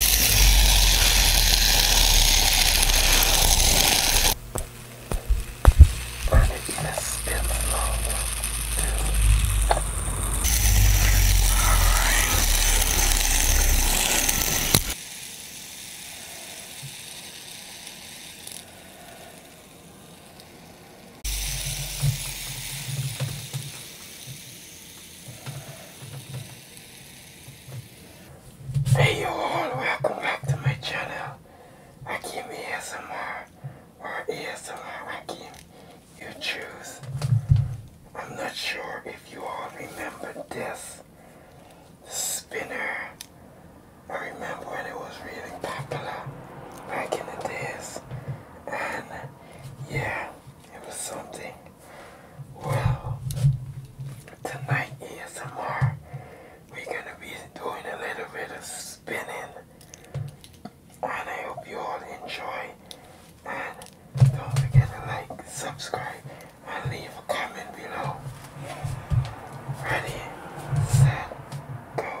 And it's gonna spill over too. Alright. Hey you all, welcome back to my channel. Hakim ASMR or ASMR Hakim, you choose. I'm not sure if you all remember this spinner. I remember when it was really popular back in the days. And yeah, it was something. Well, tonight ASMR, we're gonna be doing a little bit of spinning, and I hope you all enjoy. And don't forget to like, subscribe, and leave a comment below. Ready, set, go.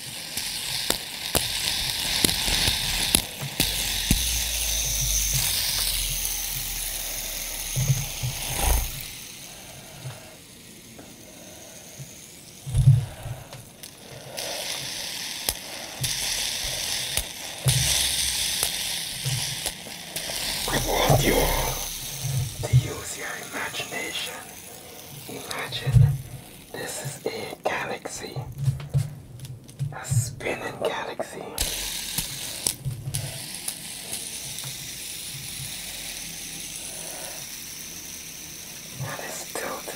want you all to use your imagination. Imagine this is a galaxy, a spinning galaxy. And it's tilted.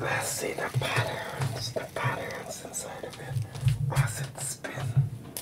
Let's see the patterns, the patterns inside of it as it spins.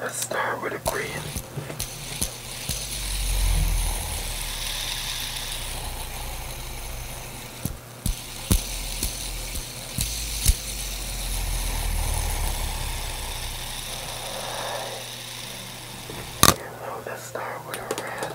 Let's start with a green. So let's start with a red.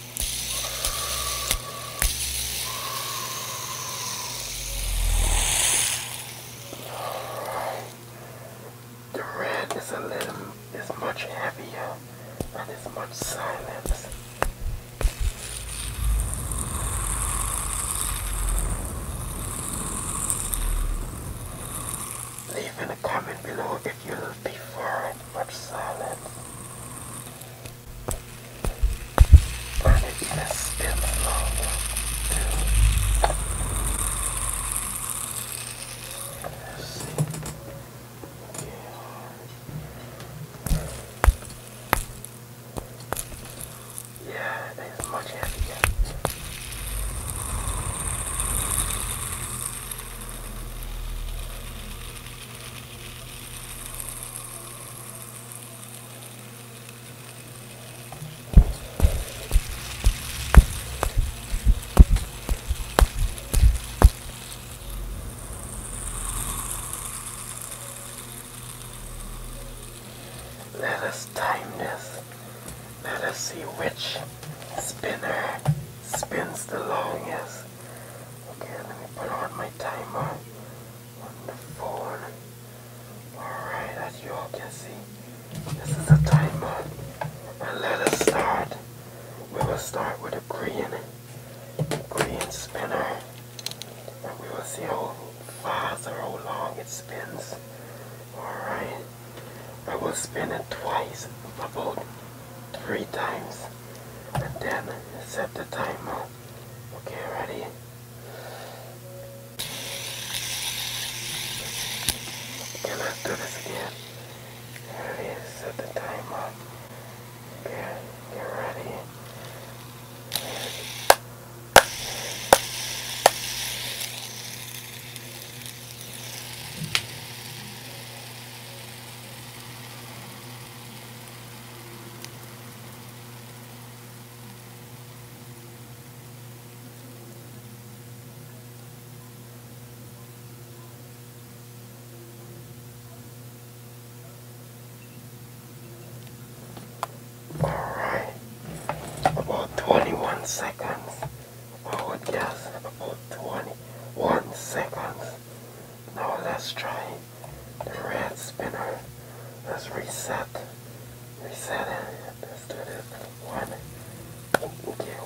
The red is a little, is much heavier and is much silence. Leave in a comment below if you prefer it much silence. And it's in still a Yeah. yeah, it is much heavier. Let us time this. Let us see which spinner spins the longest. Okay, let me put on my timer on the phone. Alright, as you all can see, this is a timer. And let us start. We will start with a green, green spinner. And we will see how fast or how long it spins. Alright. I will spin it twice, about three times and then set the timer. Okay, ready? let's do this again. Ready, set the timer. Okay, get ready. Alright, about 21 seconds. I would guess about 21 seconds now let's try the red spinner. Let's reset. Reset it. Let's do this. One. Okay.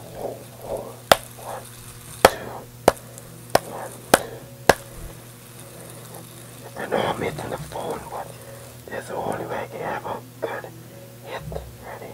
One, two. I know I'm hitting the phone, but that's the only way I can have a hit. Ready?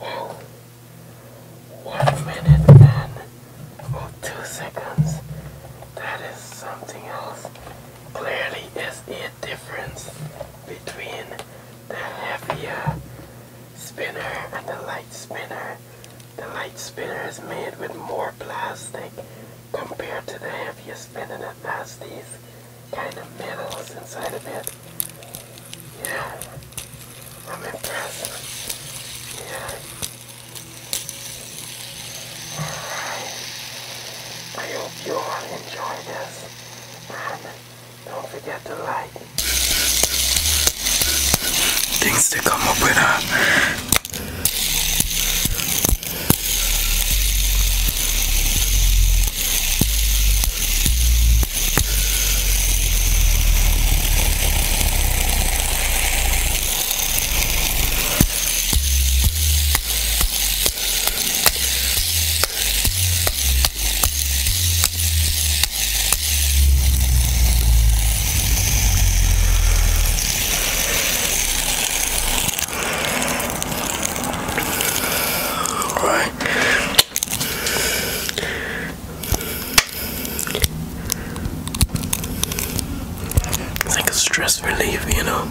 Whoa. One minute and oh, two seconds. That is something else. Clearly, is it? difference between the heavier spinner and the light spinner. The light spinner is made with more plastic compared to the heavier spinner that has these kind of metals inside of it. Yeah, I'm impressed. Yeah. Alright, I hope you all enjoy this. Don't forget to like. Things to come up with her. Right. It's like a stress relief, you know.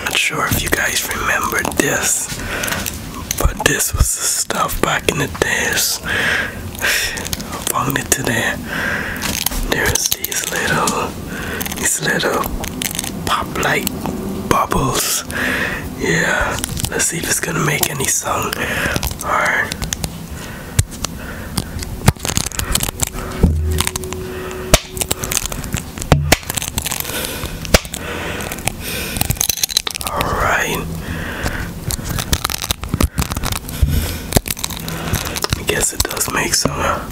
Not sure if you guys remember this, but this was the stuff back in the days Found it today. There's these little, these little pop-like bubbles. Yeah, let's see if it's gonna make any sound. Alright. All right. I guess it does make some. Huh?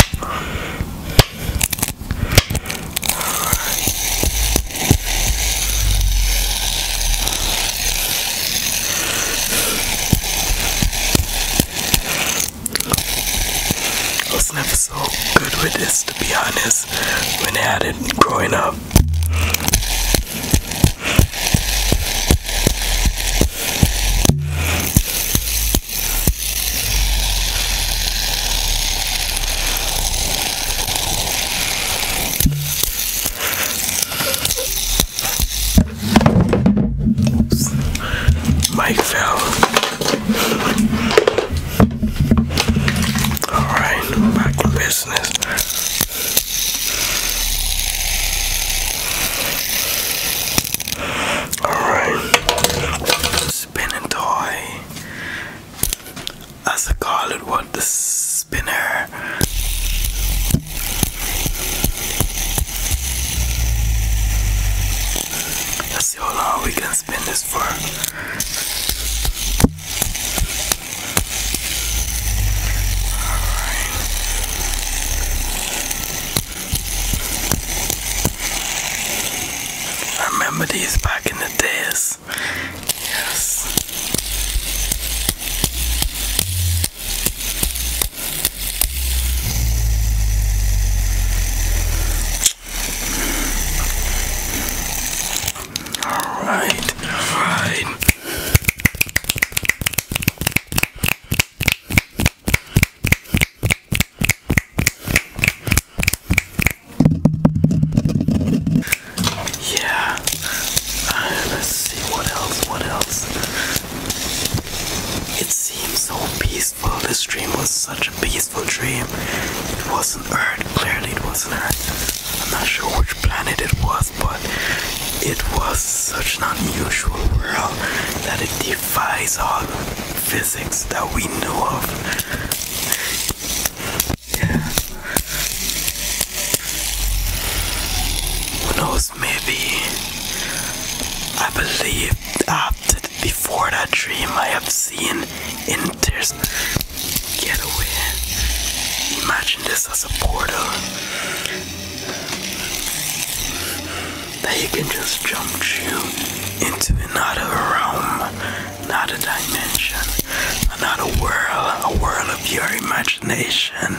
I was never so good with this, to be honest, when I had it growing up. Oops. Mike fell. Alright, back to business. Alright. Spinning toy. As I call it what the spinner. Let's see how long we can spin this for. I remember these back in the days. Yes. All right, all right. Yeah. Uh, let's see what else. What else? It seems so peaceful. This dream was such a peaceful dream. It wasn't Earth. Clearly, it wasn't Earth. I'm not sure which planet it was but it was such an unusual world that it defies all physics that we know of. Yeah. Who knows, maybe I believe after before that dream I have seen in Get away. Imagine this as a portal that you can just jump you into another realm, another dimension, another world, a world of your imagination.